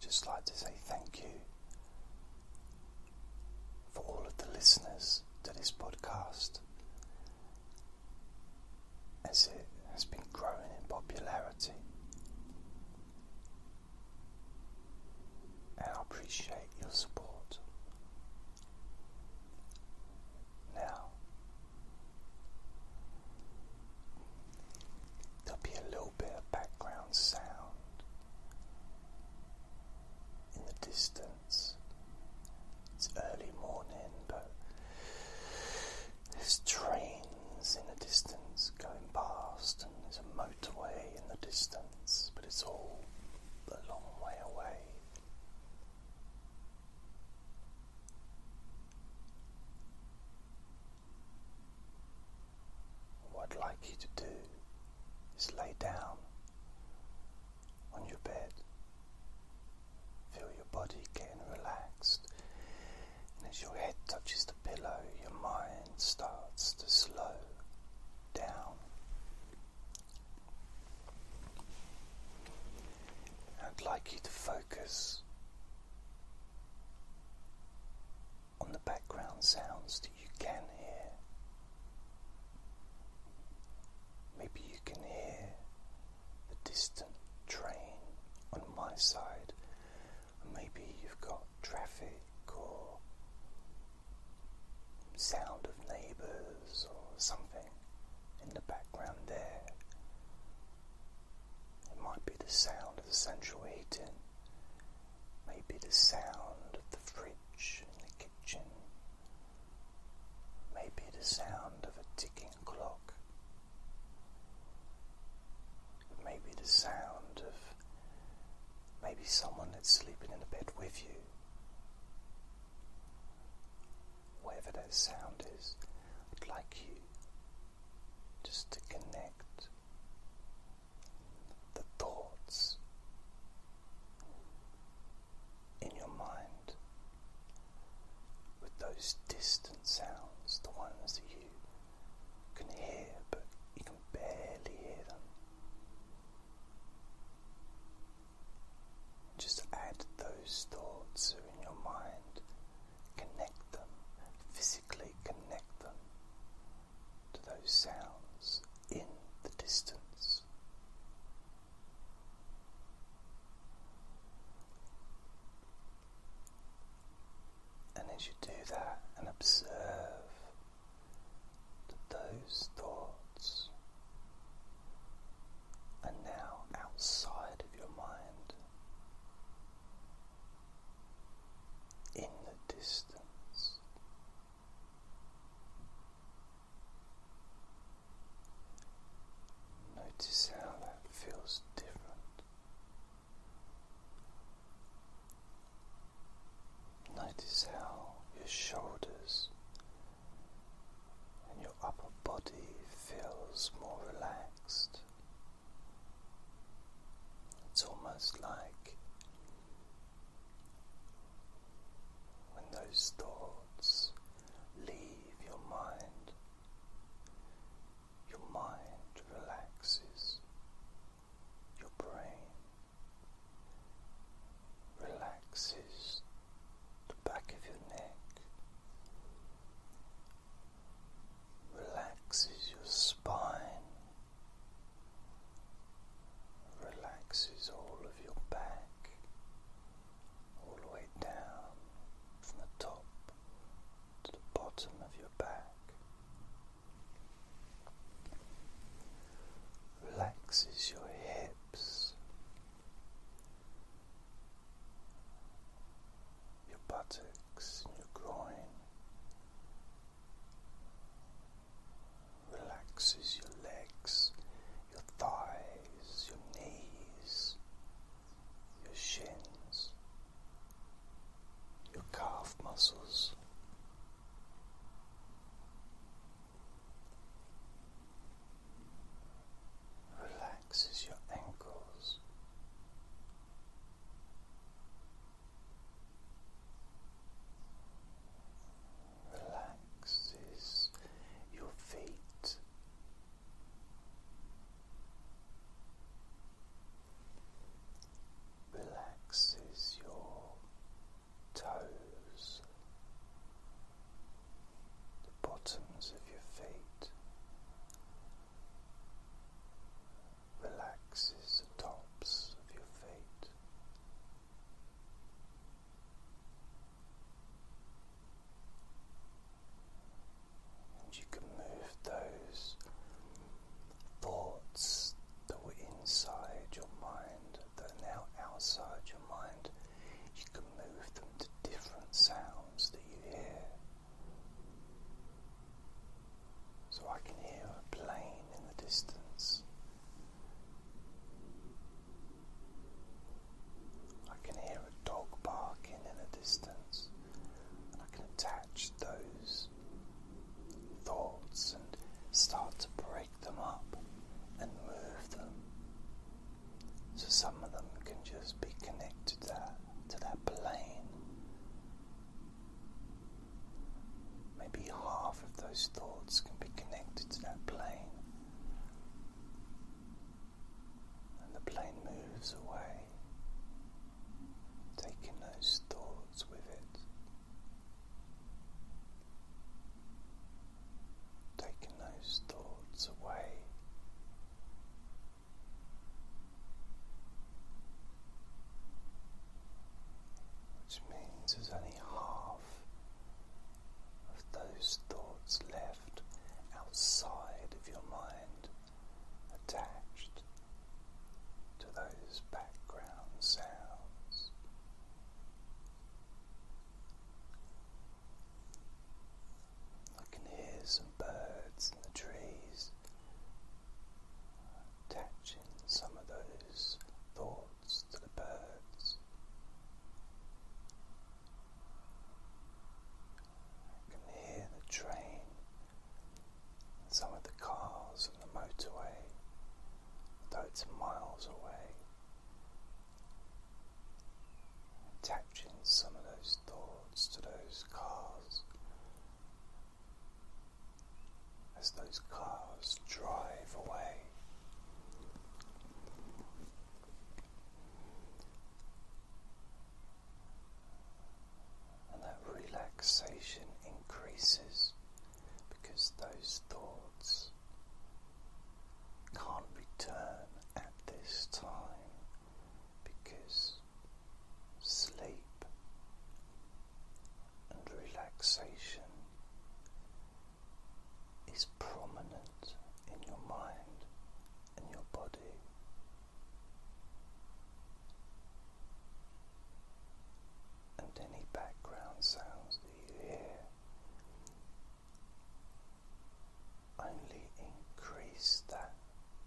Just like to say thank you for all of the listeners to this podcast as it has been growing in popularity. And I appreciate your support. Now, There'll be a little bit of background sound in the distance. It's early morning, but there's trains in the distance going past, and there's a motorway in the distance, but it's all a long way away. What I'd like you to do is lay down on your bed. Feel your body getting relaxed. And as your head touches the pillow, your mind starts to slow down. I'd like you to focus on the background sounds that you can hear. Maybe you can hear the distant train on my side, maybe you've got traffic or sound of neighbours or something in the background there. It might be the sound of the central heating, maybe the sound of the fridge in the kitchen, maybe the sound of a ticking clock, maybe the sound of maybe someone that's sleeping in a bed with you. Whatever that sound is, I'd like you just to connect the thoughts in your mind with those distant sounds, the ones that you can hear but you can barely hear them. Just add those thoughts that in your mind connect them, physically connect them to those sounds in the distance. And as you do that and observe that those thoughts are now outside of your mind in the distance. Notice how that feels different. Notice how your shoulders and your upper body feels more relaxed. It's almost like when those thoughts leave your mind, your mind relaxes, your brain relaxes the back of your neck relaxes your spine, relaxes all of your back, all the way down from the top to the bottom of your back. Relaxes your hips, your buttocks your groin relaxes your legs, your thighs, your knees, your shins, your calf muscles. Relaxes your ankles, Relaxes your feet. Relaxes your toes, the bottoms of your feet, relaxes the tops of your feet. And you can move those thoughts that were inside your mind, that are now outside your mind, you can move them to different sounds that you hear. So I can hear a plane in the distance. I can hear a dog barking in the distance. And I can attach those thoughts and start to break them up and move them so some of them can just be connected to that, plane. Maybe half of those thoughts can be connected to that plane. And the plane moves away, taking those thoughts with it. Taking those thoughts away which means there's only half of those thoughts left outside of your mind attached to those background sounds. I can hear some birds in the trees attaching some of those thoughts to the birds. I can hear the train some of the cars on the motorway, though it's miles away. Attaching some of those thoughts to those cars as those cars drive away. And that relaxation increases because those thoughts can't return at this time because sleep and relaxation is prominent in your mind and your body. And any background sounds that you hear only increase that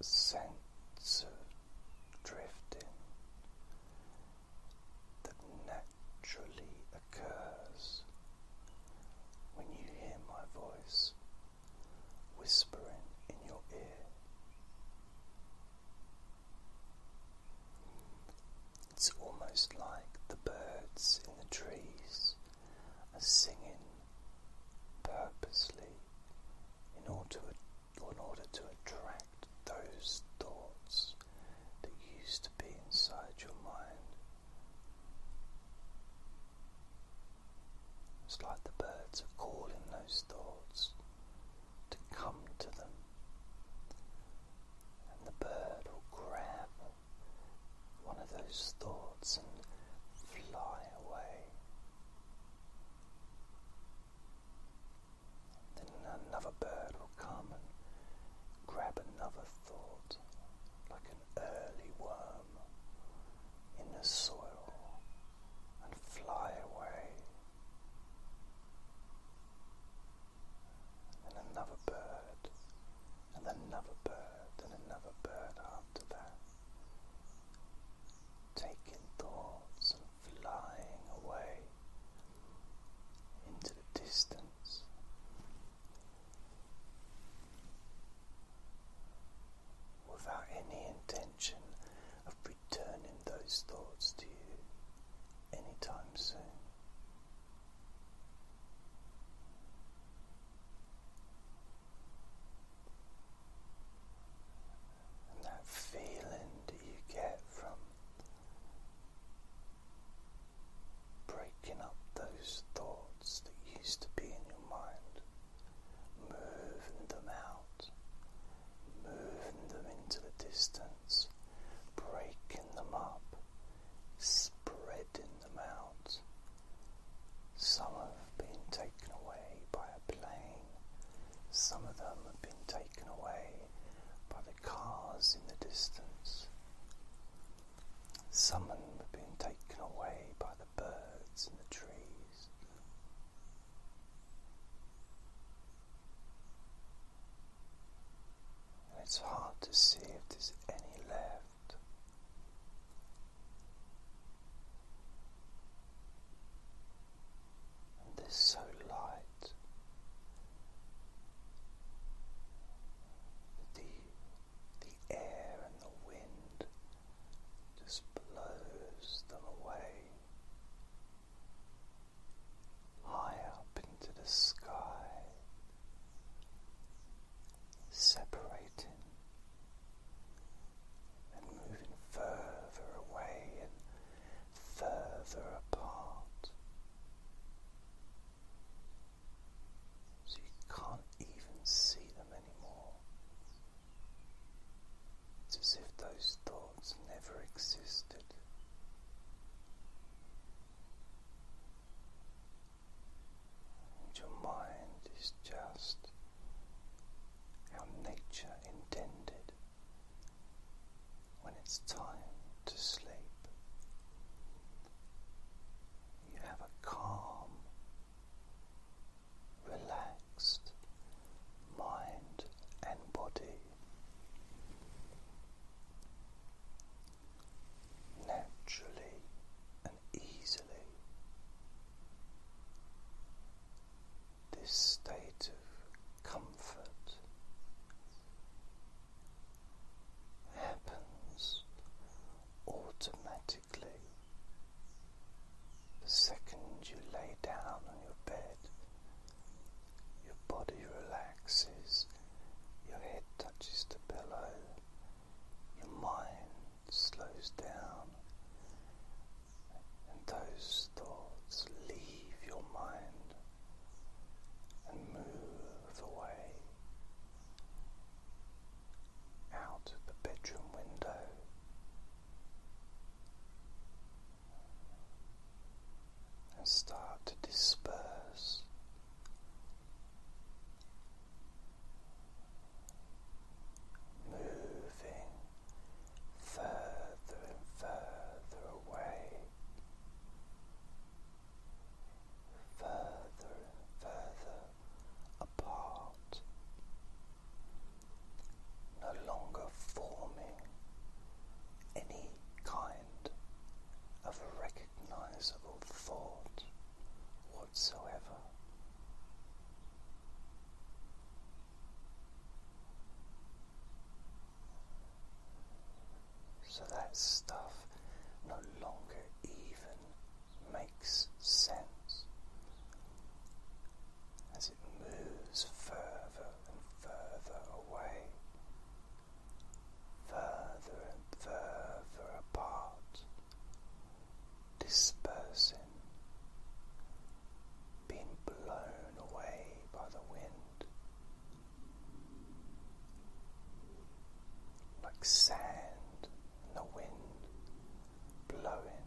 sense of drifting that naturally occurs when you hear my voice whispering in your ear. It's almost like the birds in the trees are singing purposely in order to, attract those thoughts that used to be inside your mind. It's like the birds are calling those thoughts to come to them, and the bird will grab one of those thoughts and fly away. Then another bird will come and grab another thought, like an early worm in the soil, and fly away. And another bird and another bird, and another bird after that, taking thoughts and flying away into the distance. Without any intention of returning those thoughts to you anytime soon and that feeling that you get from breaking up those thoughts that used to be in your mind, moving them out, moving them into the distance, breaking them up, spreading them out. Some have been taken away by a plane, some of them have been taken away by the cars in the distance, some of them have been taken away by the birds in the trees. And it's hard to see if there's any left. And they're so light that the the air and the wind just blows them away high up into the sky separating and moving further away and further apart. So you can't even see them anymore. It's as if those thoughts never existed. And your mind is just how nature intended when it's time to sleep. You have a calm, relaxed mind and body naturally and easily. This state of comfort happens automatically the second you lay down on your bed. Your body relaxes, your head touches the pillow, your mind slows down, and those thoughts leave your mind and move away out of the bedroom window. And start to disperse moving further and further away, further and further apart, no longer forming any kind of recognition recognizable thought whatsoever. So that stuff no longer even makes sense as it moves further and further away, further and further apart dispersing, being blown away by the wind, like sand and the wind blowing.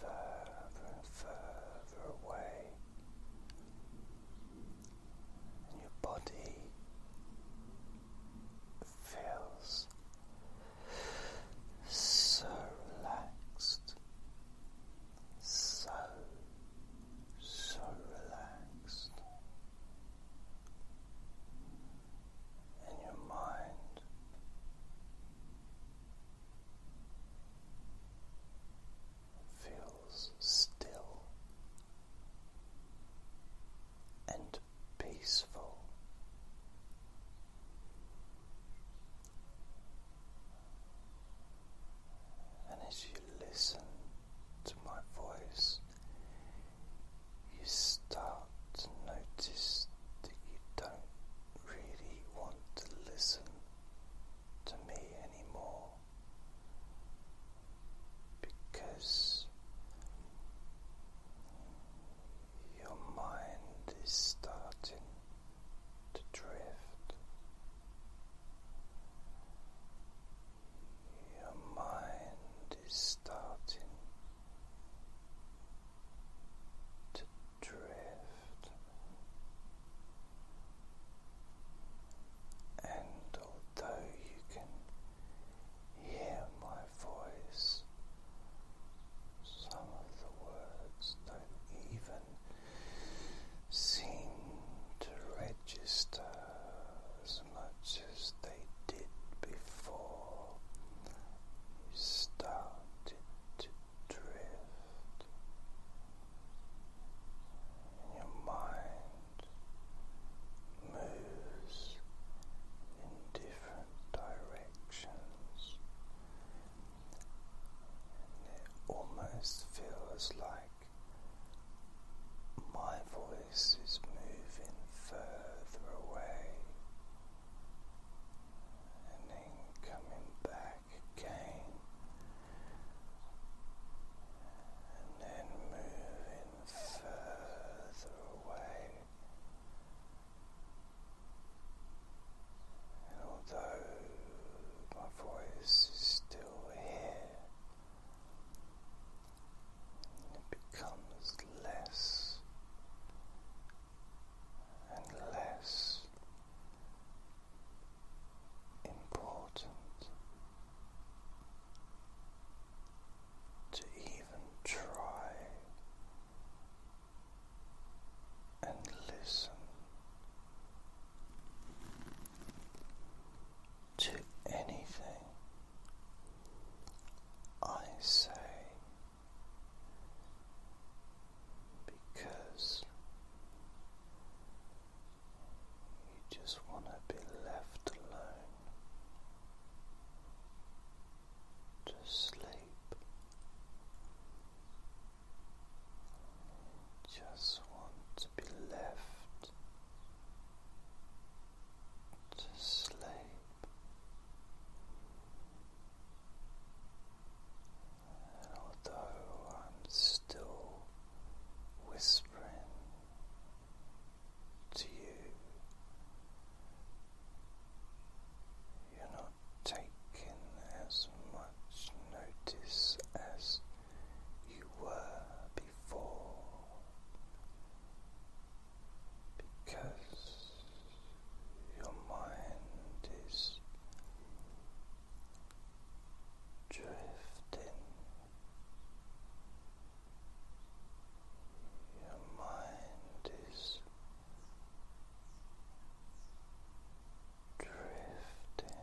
Further and further away your body feels so relaxed, so, so relaxed. And your mind feels still and peaceful. And as you listen to my voice, you start to notice that you don't really want to listen to me anymore because your mind is starting to drift. Your mind is starting to drift and although you can hear my voice, some of the words don't even seem to register as much as they did before you started to drift your mind moves in different directions, and it almost feels like my voice is moving further away and then coming back and then moving further away. And although my voice is still here, it becomes less and less important to even try and listen to anything I say because you just want to be left alone to sleep. just want to be left to sleep although I'm still whispering to you, you're not taking as much notice as you were before because your mind is drifting your mind is drifting Drifting,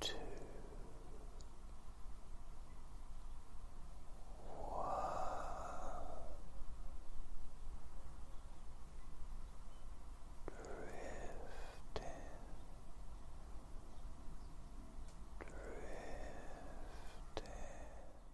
two, Drifting, drifting.